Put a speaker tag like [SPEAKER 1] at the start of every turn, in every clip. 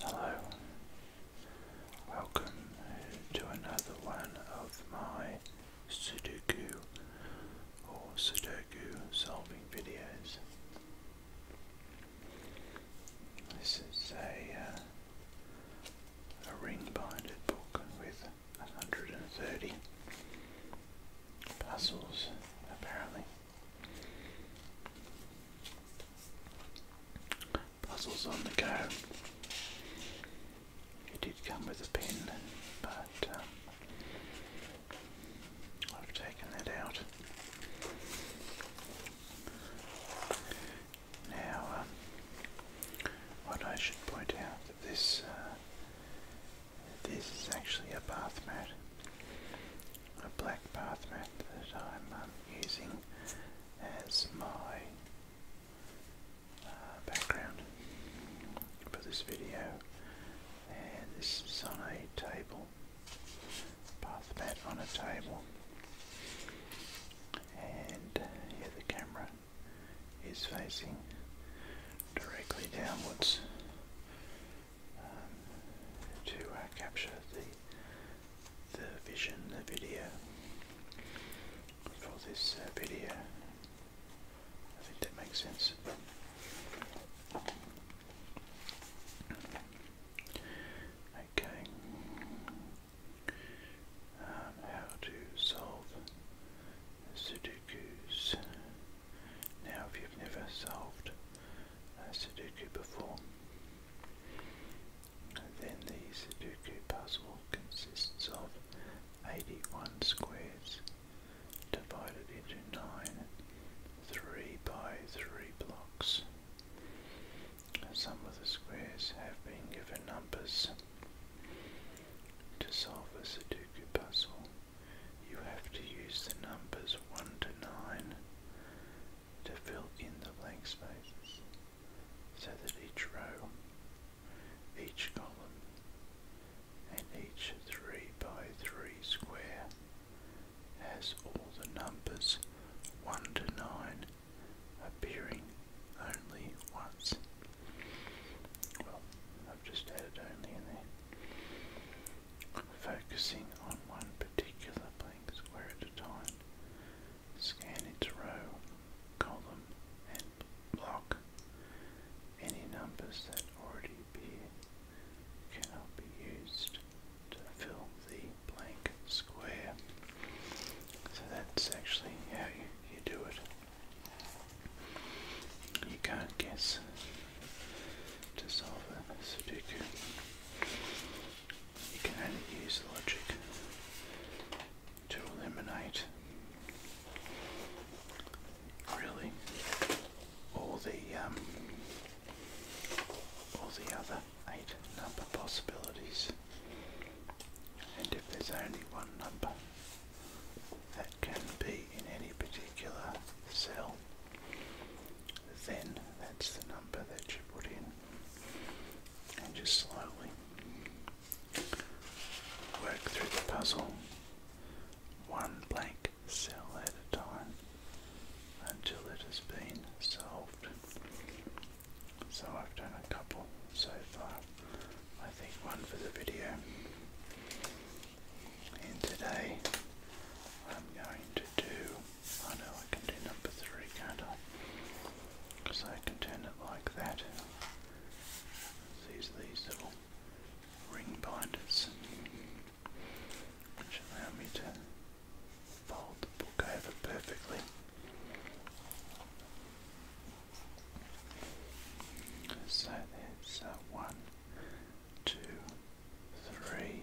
[SPEAKER 1] Hello, welcome to another one of my Sudoku or Sudoku solving videos. This is a uh, a ring binded book with 130 puzzles apparently. Puzzles on the go. It did come with a pen, but um, I've taken that out. Now, um, what I should point out that this uh, this is actually a bath mat a black path map that I'm um, using as my uh, background for this video and this is on a table path mat on a table and here uh, the camera is facing directly downwards um, to uh, capture the the vision, the video for this uh, video. I think that makes sense. Okay. Um, how to solve Sudokus. Now, if you've never solved a uh, Sudoku before, then the Sudoku puzzle consists of 81 squares divided into 9 3 by 3 blocks. Some of the squares have been given numbers. To solve a Sudoku puzzle, you have to use the numbers 1 to 9, to fill in the blank spaces so that each row, each column, and each 3 by 3 square has all the numbers 1 to 9 appearing only once. Well, I've just added only in there. Focusing on one particular place square at a time. Scan its row, column, and block. Any numbers that already be cannot be used to fill the blank square. So that's actually how you, you do it. You can't guess to solve a Sudoku you can only use logic to eliminate really all the um, all the other eight number possibilities. And if there's only one number that can be in any particular cell, then that's the number that you put in. And just slowly work through the puzzle, one blank cell at a time, until it has been solved. So I've done a couple so far. I think one for the video. And today I'm going to do I know I can do number three, can't I? Because I can turn it like that. There's these little ring binders which allow me to fold the book over perfectly. So there's uh, one, two, three,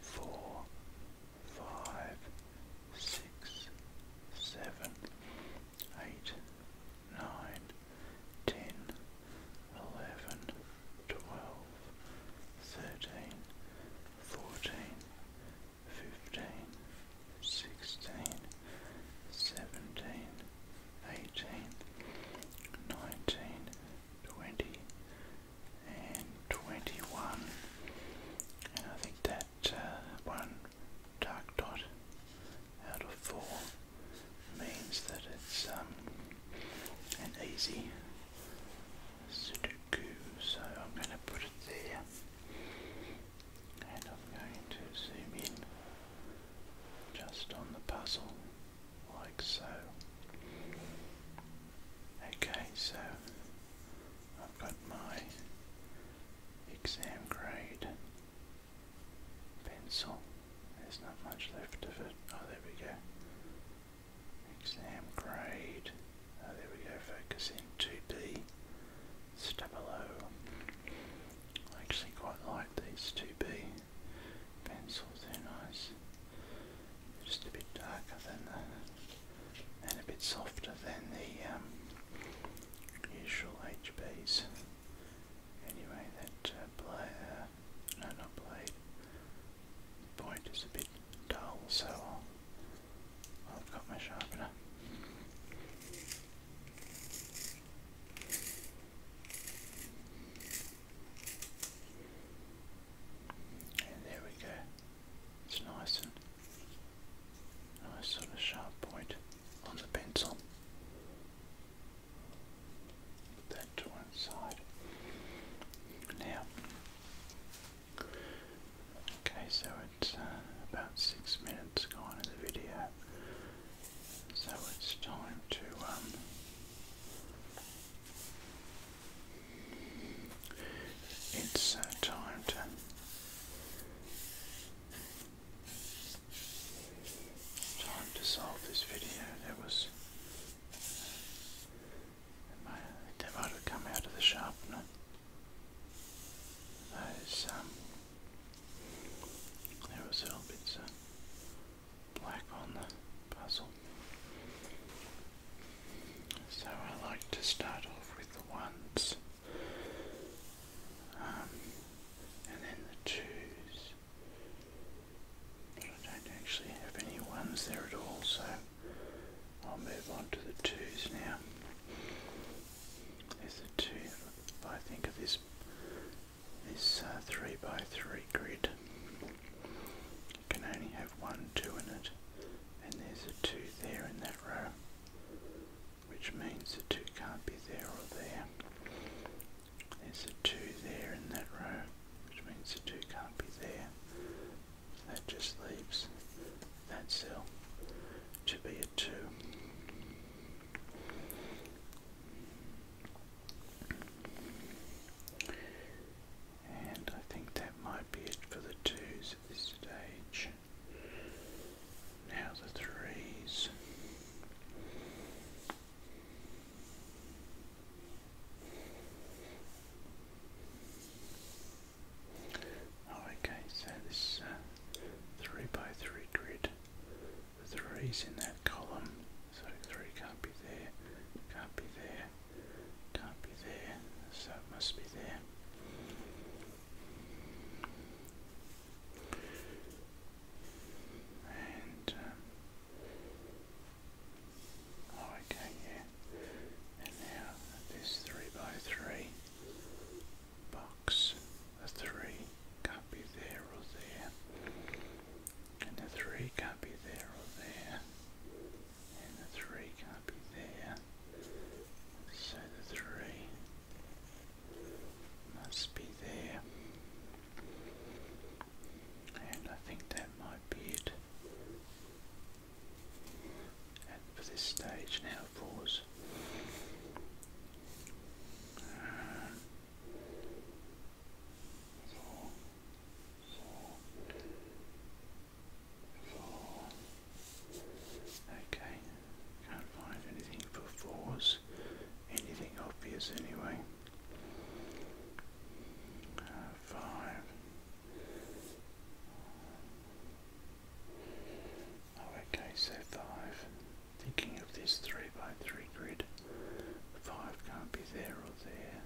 [SPEAKER 1] four, five, six, seven, eight, nine, ten, eleven, twelve, thirteen, fourteen, fifteen, sixteen, seventeen, eighteen, nineteen, twenty. 21, 22, 23, 24, 25, 26, 27, 28, 29, 30, 31, 32, 33, 34, 35, and 21 and I think that uh, one dark dot out of four means that it's um, an easy Sudoku so I'm going to put it there and I'm going to zoom in just on the puzzle like so Okay, so I've got my exam grade pencil. There's not much left of it. Oh, there we go. Exam grade. Oh, there we go. Focusing in 2B. Step I actually quite like these 2B pencils. They're nice just a bit darker than the, and a bit softer than the um, usual HBs. Anyway, that uh, blade, uh, no, not blade, point is a bit dull, so I'll, I've got my sharpener. And there we go. It's nice and nice sort of sharp point on the pencil. Put that to one side. Now, okay, so it's uh, about six minutes gone in the video, so it's time to um, it's uh, time to time to solve this video. There was uh, they might come out of the sharpener. Um, there was a little bit of black on the puzzle. So I like to start off with the ones um, and then the twos. I don't actually have any ones there at all, so I'll move on to the twos now. There's the two, if I think of this this uh, three by three grid can only have one 2 in it, and there's a 2 there in that row, which means the 2 can't be there or there. There's a 2 there in that row, which means the 2 can't be there. That just leaves that cell to be a 2. And I think that might be it for the twos at this stage. Now the threes. Oh, okay, so this uh, three by three grid. Threes in that column, so three can't be there, can't be there. Can't be there, so it must be there. And, um, oh, okay, yeah. And now this 3x3 3 box, the 3 can't be there or there, and the 3 can't be there or there and the 3 can't be there, so the 3 must be there, and I think that might be it. And for this stage now, pause. four, four, Four. Okay, can't find anything for fours. Anything obvious anyway. Uh, five. Oh, okay, so five. Thinking of this three by three grid. Five can't be there or there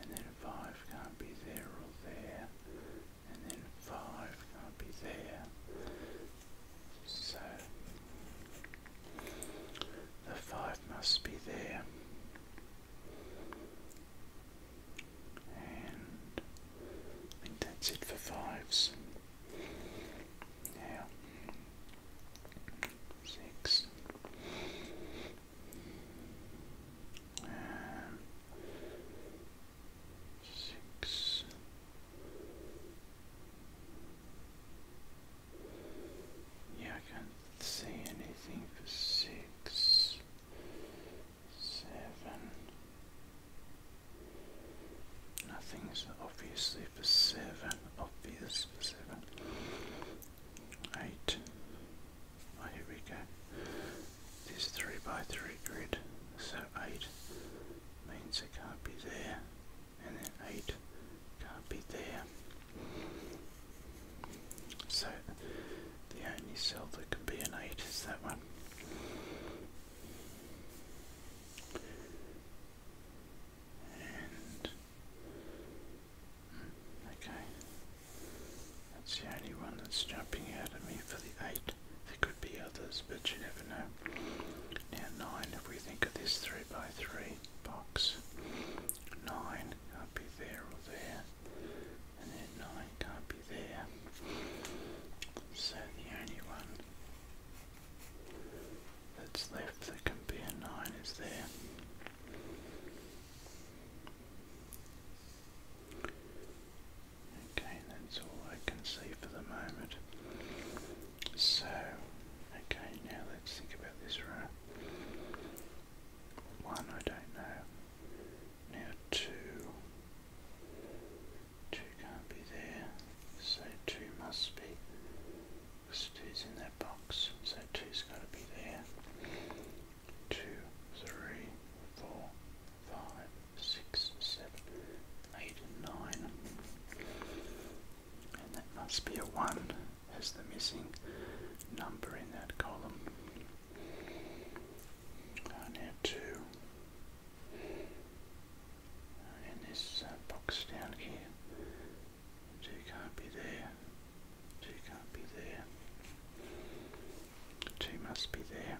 [SPEAKER 1] and then 5 can't be there or there, and then 5 can't be there. So the 5 must be there. And that's it for fives. Now, six. Um, six. Yeah, I can't see anything for six, seven. Nothing's obviously for seven, Obviously for seven, eight, Oh, here we go. This 3 by 3 grid, so 8 means it can't be there, and then 8 can't be there. So the only cell that can be an 8 is that one. Hmm, okay, that's the only one that's jumping out at me for the 8. There could be others, but you never know. Now 9, if we think of this 3 by 3 box, 9 can't be there or there, and then 9 can't be there. So the only one that's left that can be a 9 is there. Okay, that's all I can see for the moment. So, okay, now let's think about this row. One, I don't know. Now two. Two can't be there, so two must be. Because two's in that box, so two's got to be there two, three, four, five, six, seven, eight, nine. And that must be a one as the missing number in that column. And uh, two. And this uh, box down here. Two can't be there. Two can't be there. Two must be there.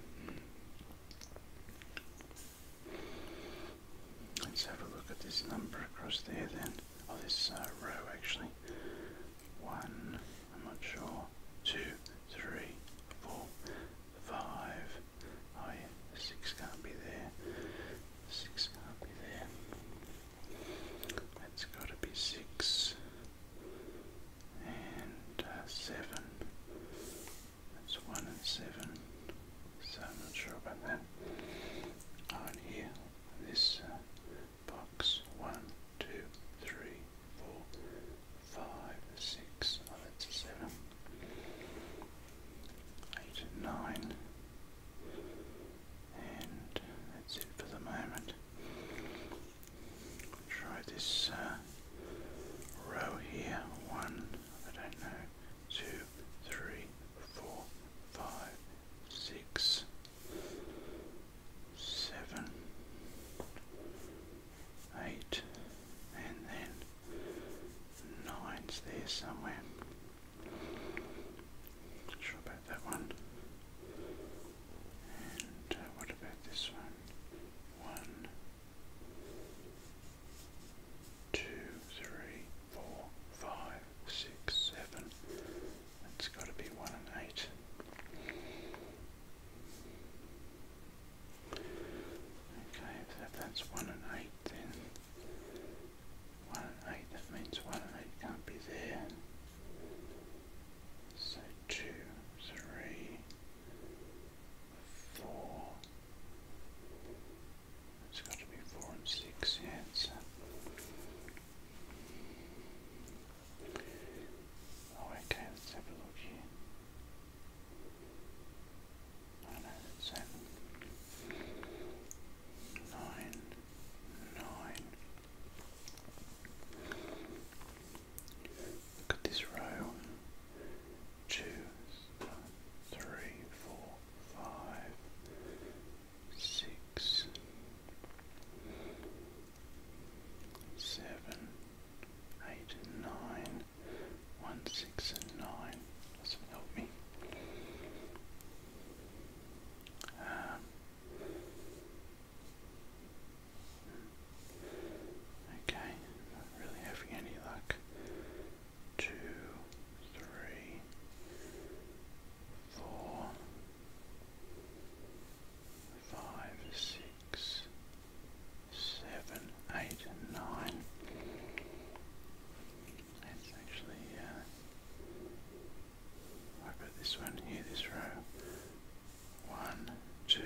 [SPEAKER 1] Let's have a look at this number across there then. Oh, this uh, row actually. One, I'm not sure. Two, three, four, five. Oh yeah, six can't be there. Six can't be there. That's got to be six and uh, seven. That's one and seven. So I'm not sure about that. On here, this uh, box one, two, three, four, five, six. Oh, that's a seven. Eight and nine. And that's it for the moment. Try this uh, row here. One, I don't know, two, three, four, five, six, seven, eight, and then nine's there somewhere. Not sure about that one. And uh, what about this one? One, two, three, four, five, six, seven. That's got to be one and eight. Okay, if that's one and eight, then one and eight. That means one and eight can't be there. So two, three, four. It's got to be four and six, yeah. Oh, okay, let's have a look here. I Look at this row. Two, three, four, five, six, seven, eight, and nine. does Doesn't help me. Um, Okay, not really having any luck. Two, three, four, five, six, seven, eight, let Let's actually uh, wipe out this one here, this row. One, two,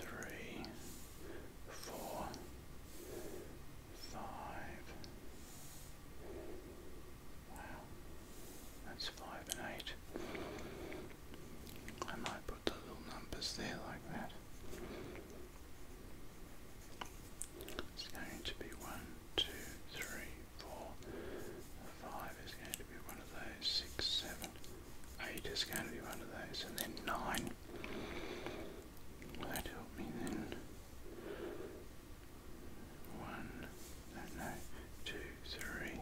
[SPEAKER 1] three, four, five. Wow, that's five and eight. I might put the little numbers there like that. It's going to be one, two, three, four, five is going to be one of those, six, seven, eight is going to be one of those, and then nine. Will that help me then? One, no, two, three,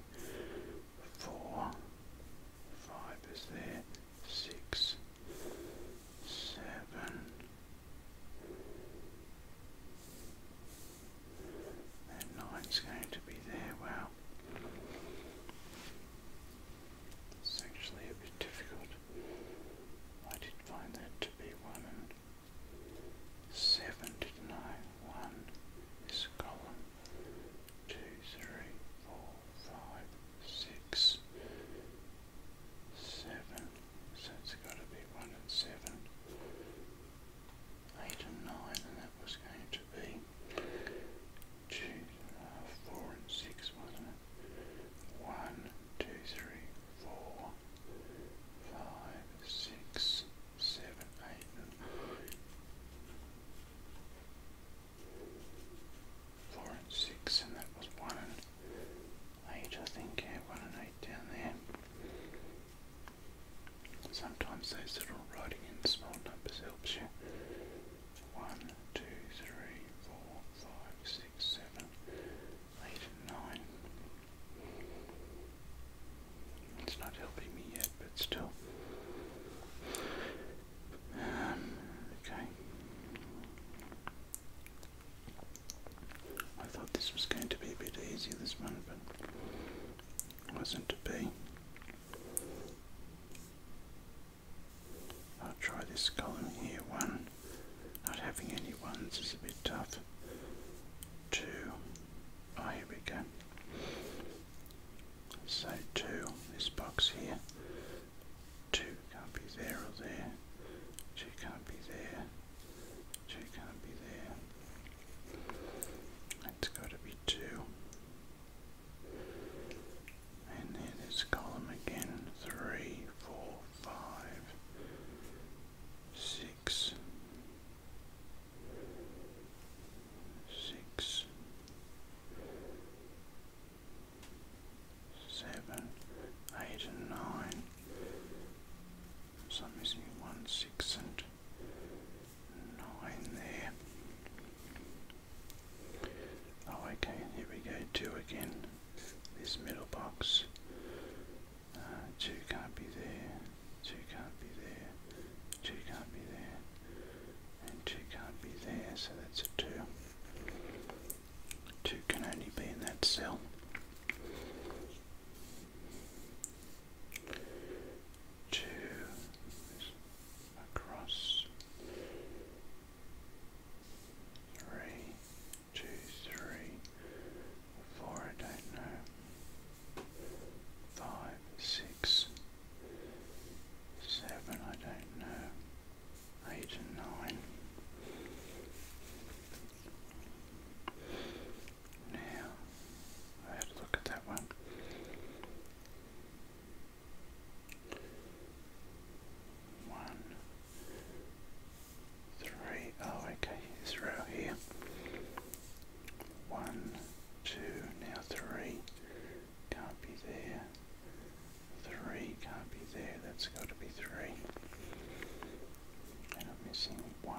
[SPEAKER 1] four, five is there, six, seven, that nine's going to be there, wow. It's actually a bit difficult. I did find that to be one and seven, didn't One is a column. Two, three, four, five, six, seven. So it's gotta be one and seven eight and nine, and that was going to be two, uh, four and six, wasn't it? One, two, three, four, five, six, seven, eight, and nine. Four and six, and that was one and eight, I think. Yeah, one and eight down there. Sometimes those little writing in small numbers helps you. 1, It's not helping me yet, but still. Um, okay. I thought this was going to be a bit easier this one, but wasn't to be. I'll try this column here. One, not having any ones is a bit tough. Two, oh, here we go. So two, this box here. Two can't be there or there. Two can't be there. Two can't be there. That's got to be 2. And then this column again, three, four, five, six, six, seven, eight, and nine. Some is in one six and nine there. Oh, okay, here we go, two again. This middle box. Uh, two can't be there, two can't be there, two can't be there, and two can't be there, so that's a two. Two can only be in that cell two across three, two, three, four, I don't know, five, six, seven, I don't know, eight and nine. Now, I a look at that one. One, three, oh, okay, this row here. One, two, now three. Can't be there. Three can't be there, that's got to be three. And I'm missing one,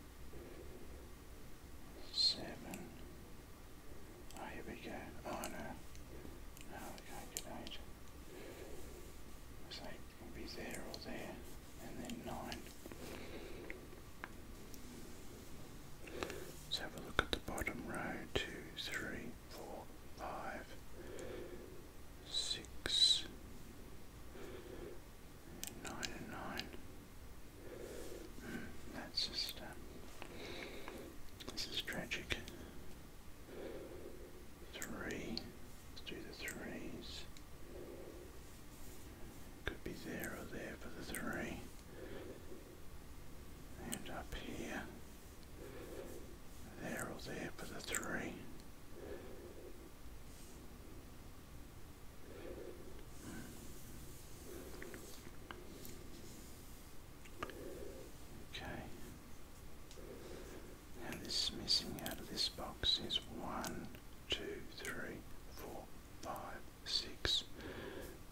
[SPEAKER 1] seven. Oh, here we go. Oh no, no, we can't eight. It's be there or there, and then nine. Let's have a look at the bottom row. Two, three, four, five, six nine and nine. Hmm, that's just, um, this is tragic. Three, let's do the threes. Could be there or there for the three. And up here. There or there for the three. Okay. Now this missing out of this box is one, two, three, four, five, six,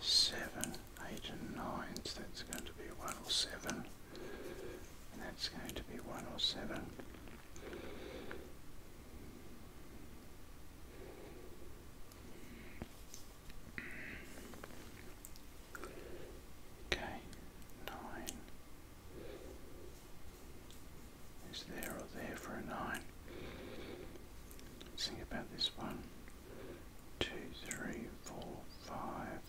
[SPEAKER 1] seven, eight, and nine. So that's going to be one or seven. that's going to be one or seven. Okay, nine. Is there or there for a nine? Let's think about this one. Two, three, four, five,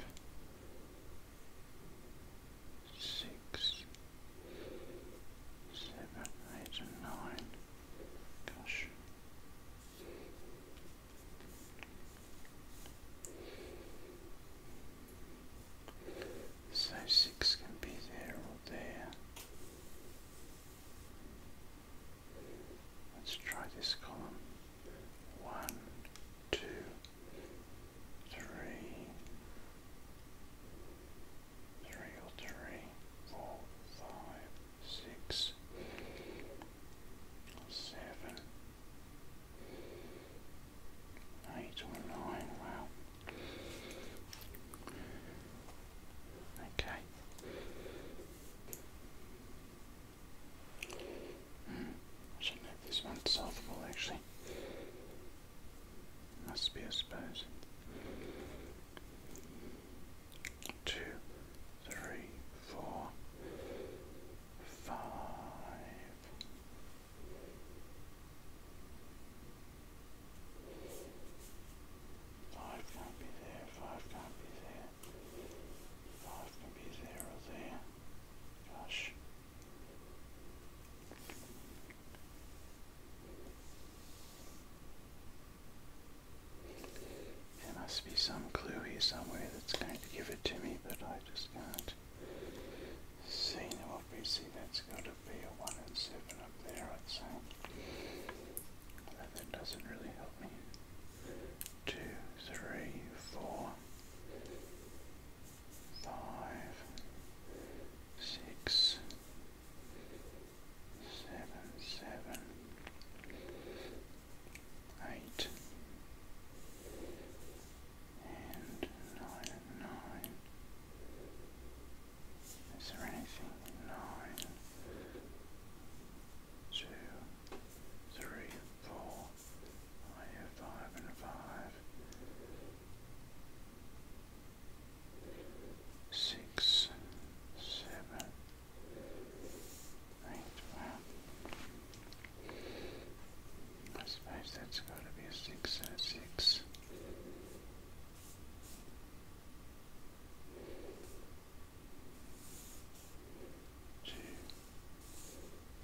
[SPEAKER 1] six, seven, eight, and nine. Gosh. So six can be there or there. Let's try this column. One, two, three, three or three, four, five, six, seven, eight or nine, wow. Okay. Mm, I shouldn't have this one solvable actually. Must be, I suppose. Two, three, four, five. Five can't be there, five can't be there, five can be there or there. Gosh. There must be some clue here somewhere that's going to give it to me, but I just can't see. Now obviously that's got to be a 1 and 7 up there, i that doesn't really help me. 2, seven, seven, eight, and nine, nine. Is there anything? Nine, two, three, four. I have five and five six, seven, eight. I suppose that's got to be a six three,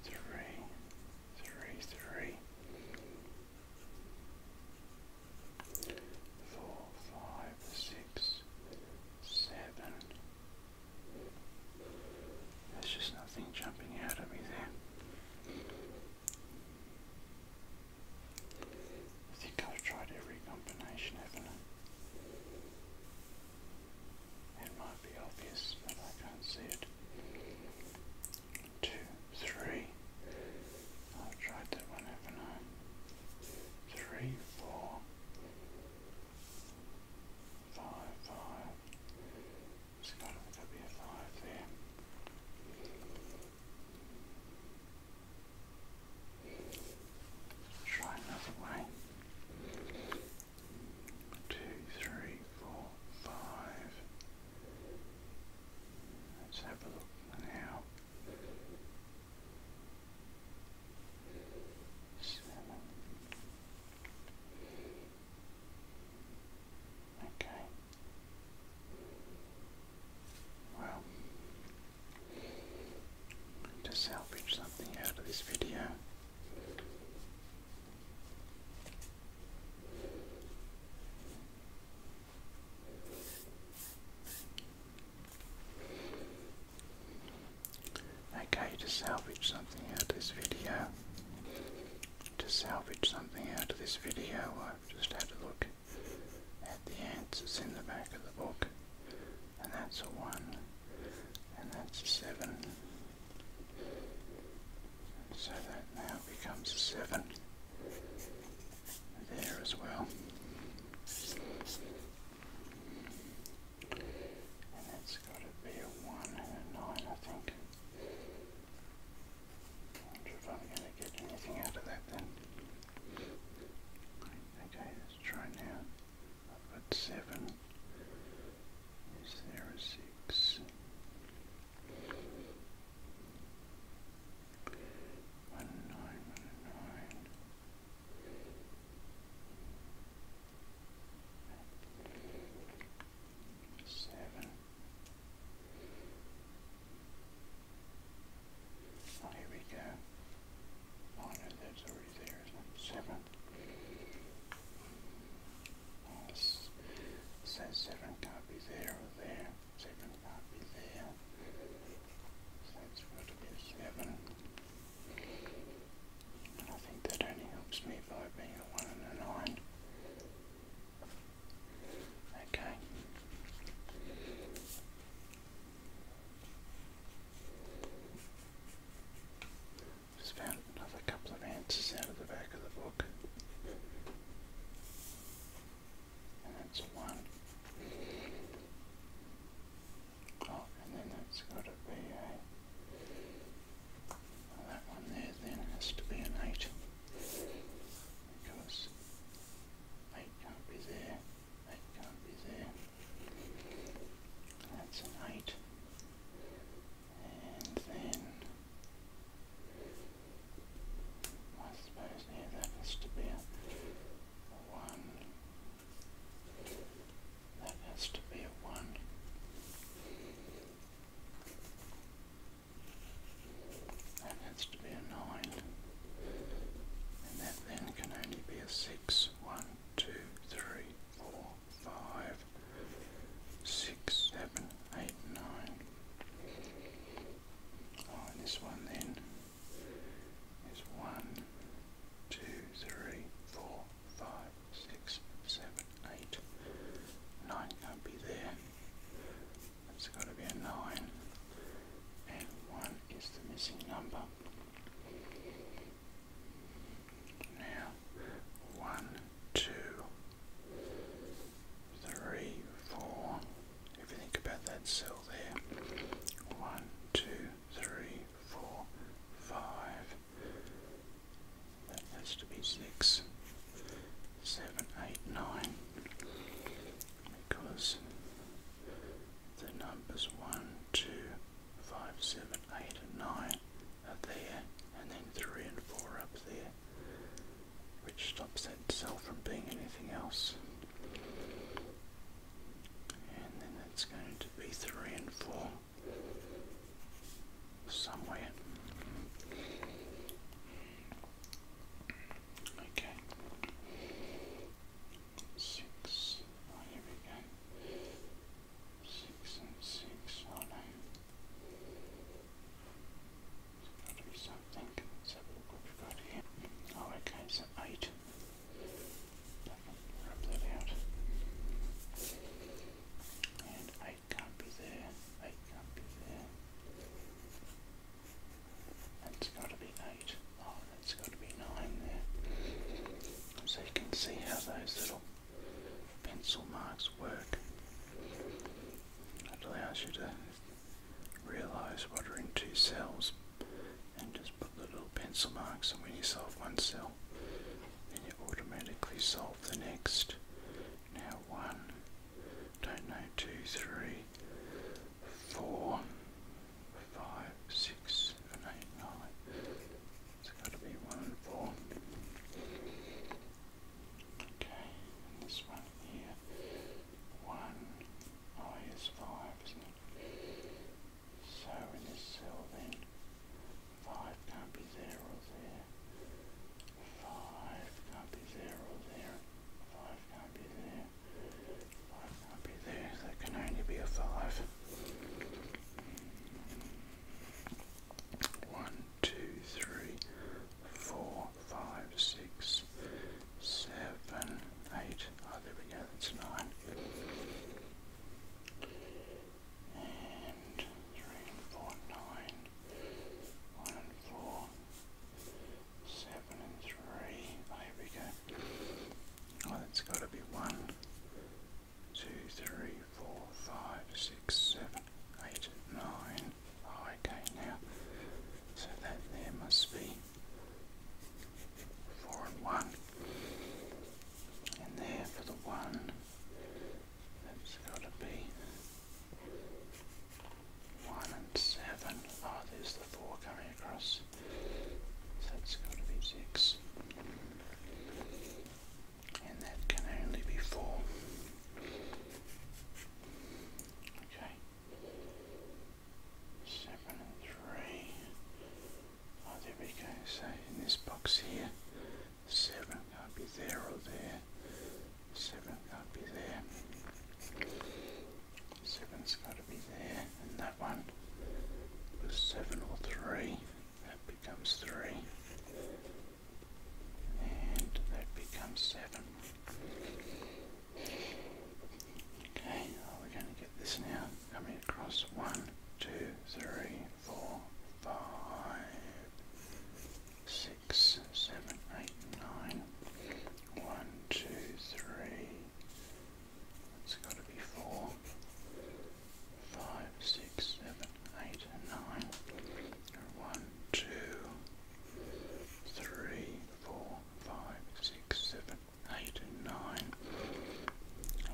[SPEAKER 1] three, three four, five, six, seven. There's just nothing jumping out at me there. I think I've tried every combination, haven't I? It might be obvious, but I can't see it two, three. I've tried that one, Three, four, five, five. There's got to be a five there. Try another way. Two, three, four, five. Let's have a look now seven. Okay. Well, to salvage something out of this video. Okay, to salvage something out of this video, to salvage something out of this video, i just had to look at the answers in the back of the book, and that's a 1, and that's a 7. So that now becomes a 7 there as well. And has got to be a 1 and 9, I think. wonder if I'm going to get anything out of that then. Okay, let's try now. I've got 7. One nine, one nine. Seven. Oh, here we go. Oh, no, that's already there, Seven. Oh, so seven can't be there or there. They will not be there. That would be seven. I think that only helps me by being a one and a nine. Okay. Just found another couple of answers out of the back of the book and that's one. Oh, and then that's got to be a. that one there then has to be an eight because eight can't be there, eight can't be there. That's an eight, and then. I suppose here yeah, that has to be a one. That has to be a one. That has to be a nine. And that then can only be a six. One, two, three, four, five, six, seven, eight, nine. Oh, and this one then is one, two, three, four, five, six, seven, eight. Nine can't be there. It's got to be a nine. And one is the missing number. Now, one, two, three, four. If you think about that cell circle there. One, two, three, four, five. That has to be six, seven, eight, nine. Because the numbers one, two, five, seven, eight, and nine are there, and then three and four up there, which stops that cell from being anything else. And then that's going to be three and four somewhere. Okay. Six. Oh, here we go. Six and six. Oh no. Oh, okay, so eight. rub that out. eight can't be there. Eight can't be there. That's got to be eight. Oh, that's got to be nine there. So you can see how those little pencil marks work. That allows you to realize what are in two cells and just put the little pencil marks and when you solve one cell then you automatically solve the next. Now one, don't know, two, three, four, five, six, nine. It's gotta be one and four. Okay, and this one here one. I is five, isn't it? So in this cell then, five can't be zero or there. Five can't be zero or there. Five can't be there. Five can't be there. There can only be a five. One, two, three, four five, six, seven, eight. Oh, there we go, that's nine. And three One and four, seven and three. Oh, here we go. Oh, that's got to be one, two, three, four, five, six, seven, eight, nine. Oh, okay, now, so that there must be Four and one. And there for the one. That's gotta be one and seven. Oh, there's the four coming across. So that's gotta be six. And that can only be four. Okay seven and three. Oh, there we go. So in this box here, seven can't be there or there. Seven can't be there. Seven's got to be there, and that one was seven or three. That becomes three, and that becomes seven. Okay, oh, well, we going to get this now. Coming across one, two, three, four, five, six, seven, eight, nine. One, two, three. It's got to be four. Five, six, One, two, three, four, five, six, seven, eight, and nine.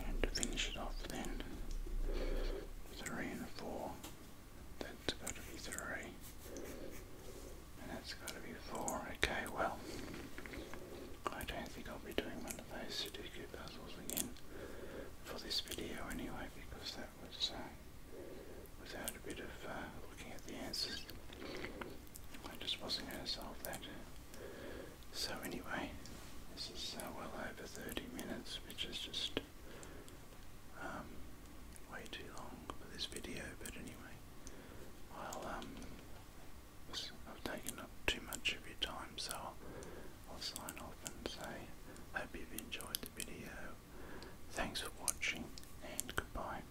[SPEAKER 1] And to finish it off then, three and four. That's got to be three. And that's got to be four. Okay, well, I don't think I'll be doing one of those Sudoku puzzles again for this video anyway, because that was uh, without a bit of uh, looking at the answers. I just wasn't going to solve that. So anyway, this is uh, well over 30 minutes, which is just um, way too long for this video, but anyway, i um, I've taken up too much of your time, so I'll sign off and say, hope you've enjoyed the video, thanks for watching, and goodbye.